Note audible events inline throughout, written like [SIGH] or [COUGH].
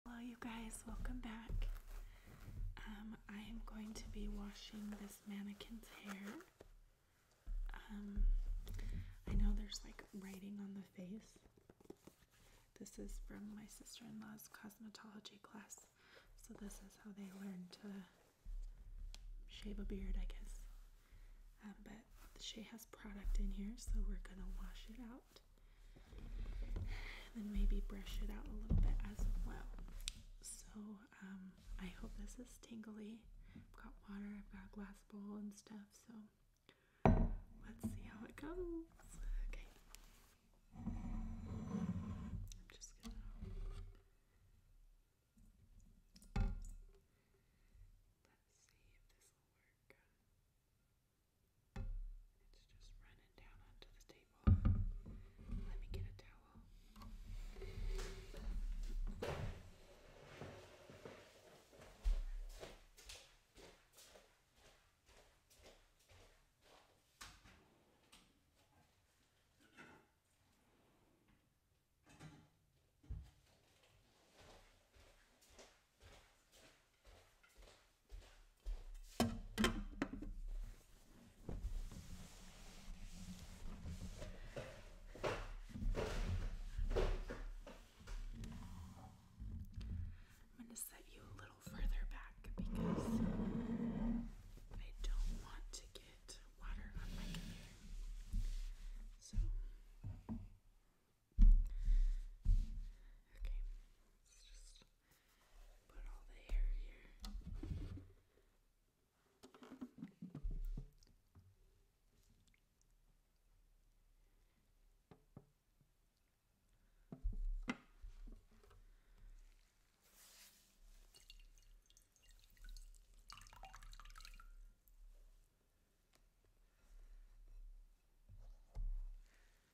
Hello you guys, welcome back. Um, I am going to be washing this mannequin's hair. Um, I know there's like writing on the face. This is from my sister-in-law's cosmetology class. So this is how they learn to shave a beard, I guess. Um, but she has product in here, so we're gonna wash it out then maybe brush it out a little bit as well. So um, I hope this is tingly. I've got water, I've got a glass bowl and stuff, so let's see how it goes. Okay. let's see if this will work. It's just running down onto the table. Let me get a towel. I'm going to set you a little further back because I don't want to get water on my computer. So, okay, let's just put all the hair here.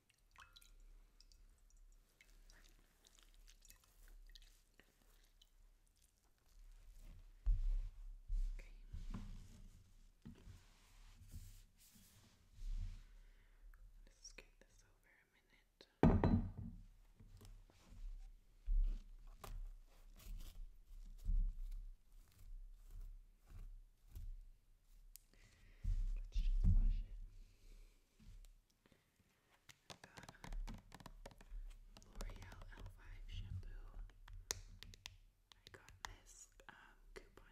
Okay. Let's get this over a minute. Let's just wash it. Okay. I got L'Oreal L5 shampoo. I got this um, couponing.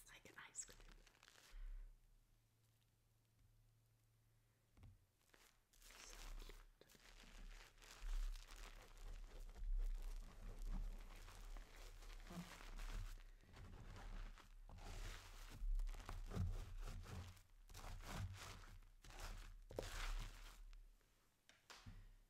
It's like an ice cream.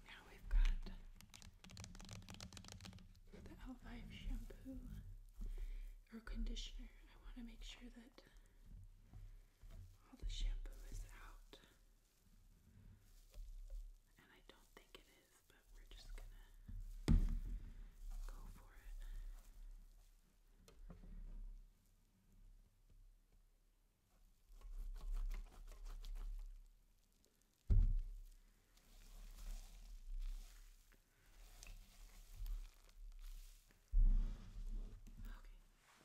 Now we've got the Elvive shampoo or conditioner. I want to make sure that all the shampoo is out. And I don't think it is, but we're just gonna go for it. Okay.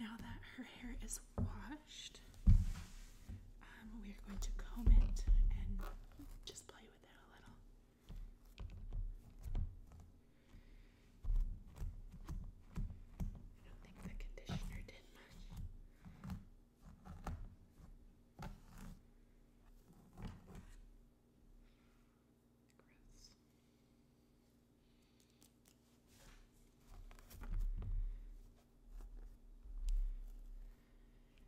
Now that her hair is washed, um, we are going to comb it and just play with with it I don't think the conditioner did much.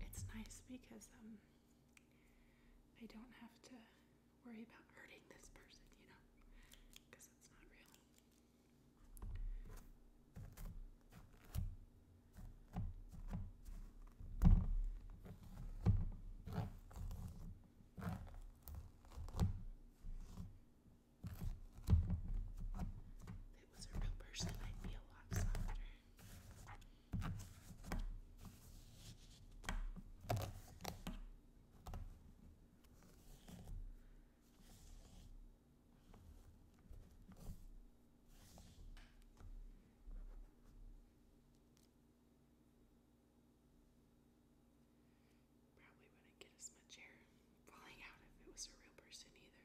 It's nice because I um, don't have to worry about hurting this person, you know, because it's not real. If it was a real person, i be a lot softer. Probably wouldn't get as much hair falling out if it was a real person either.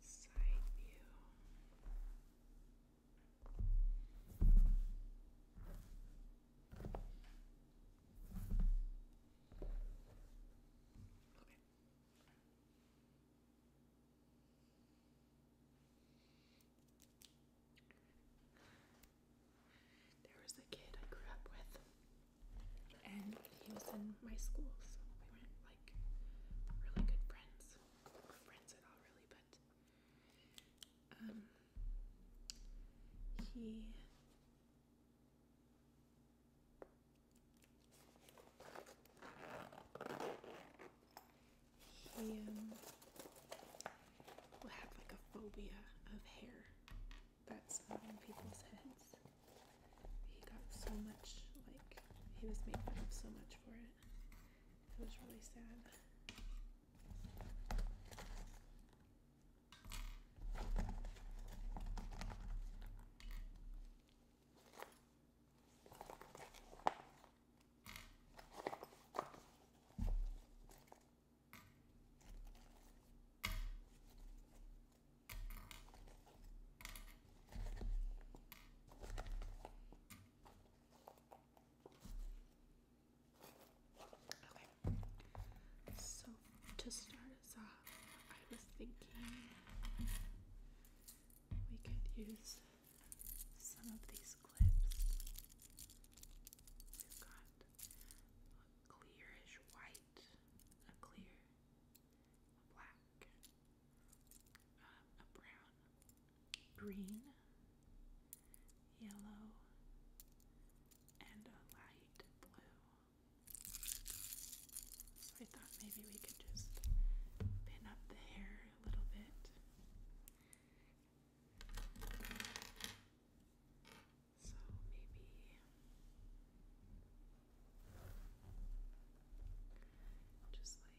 side view. There was a kid I grew up with, and he was in my school, so we were like really good friends friends at all, really, but um, he he um, will have like a phobia of hair that's on people's heads. He got so much like he was made fun of so much for it it. That was really sad so to start us off, I was thinking we could use some of these clips. We've got a clearish white, a clear, black, uh, a brown, green, yellow, and a light blue. So I thought maybe we could just pin up the hair a little bit. So maybe just like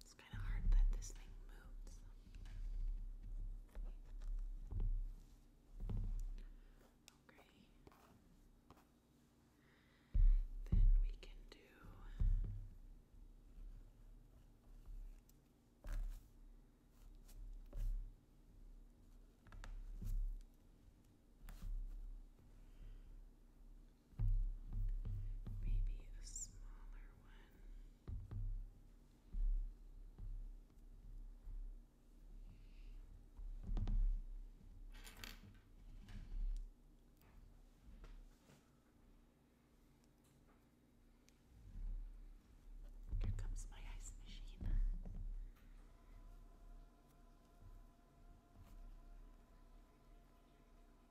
It's kind of hard that this thing moves. Okay. Then we can do Maybe a smaller one. Here comes my ice machine.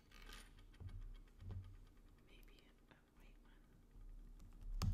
Maybe a white one. Okay.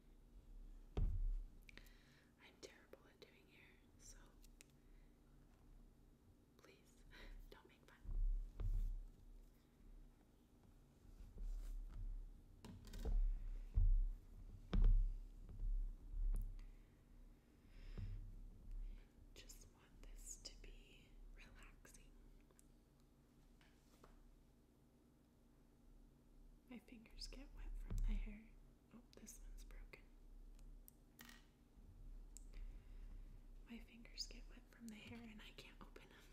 I'm terrible at doing hair, so please [LAUGHS] don't make fun. Just want this to be relaxing. My fingers get wet from the hair. Oh, this one's broken. My fingers get wet from the hair and I can't open them.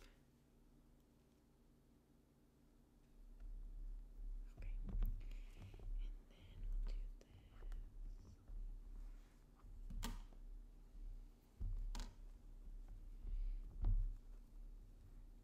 Okay. And then we'll do this.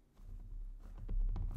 What if we go?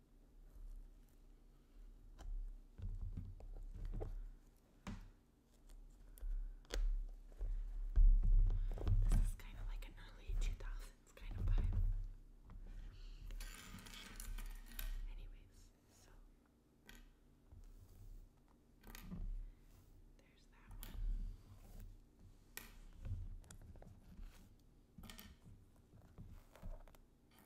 This is kind of like an early 2000s kind of vibe. Anyways, so there's that one.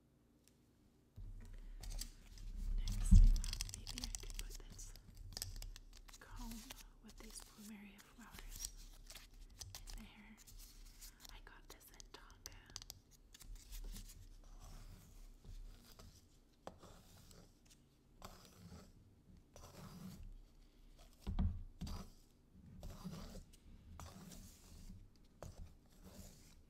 Next, I thought maybe I could put this comb with these plumeria flowers in there. I got this in Tonga.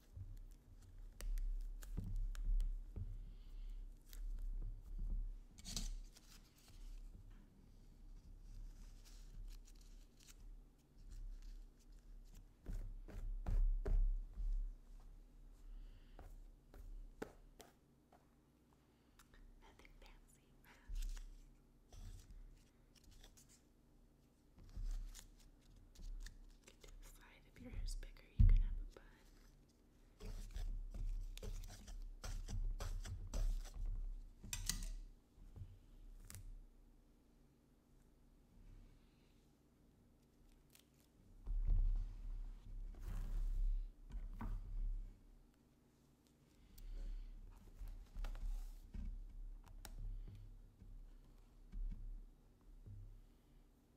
Nothing fancy. You If your hair's bigger, you can have a bun.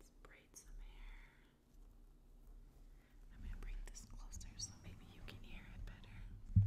Let's braid some hair. I'm going to bring this closer so maybe you can hear it better.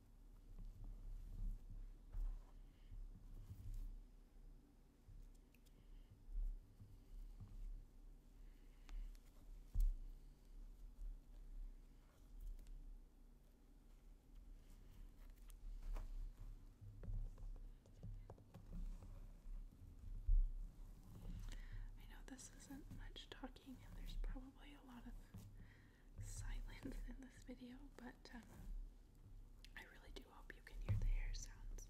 I know this isn't much talking, and there's probably a lot of silence in this video, but um, I really do hope you can hear the hair sounds.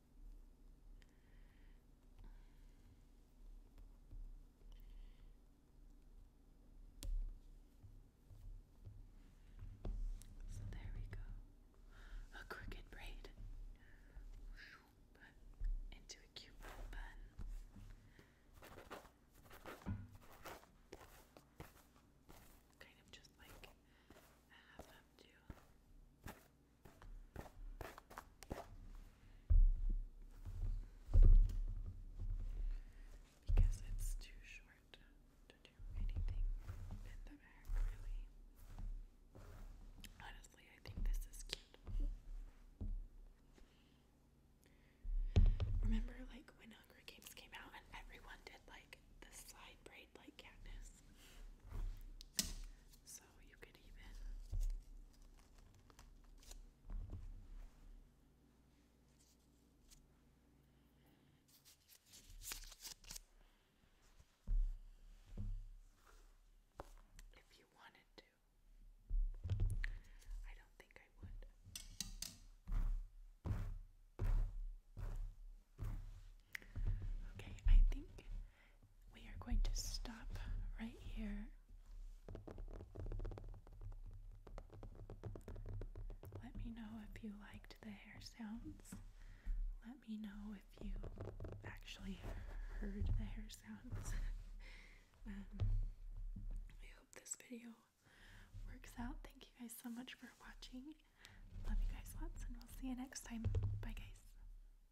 So there we go. A crooked braid into a cute bun. Kind of just like I have them do. Because it's too short to do anything in the back, really. Honestly, I think this is cute. Remember, like, when Hunger Games came out and everyone did, like, the side braid like Katniss? So you if you wanted to. I don't think I would. Okay, I think we are going to stop right here. Let me know if you liked the hair sounds. Let me know if you actually heard the hair sounds. [LAUGHS] Um, I hope this video works out. Thank you guys so much for watching. Love you guys lots, and we'll see you next time. Bye, guys.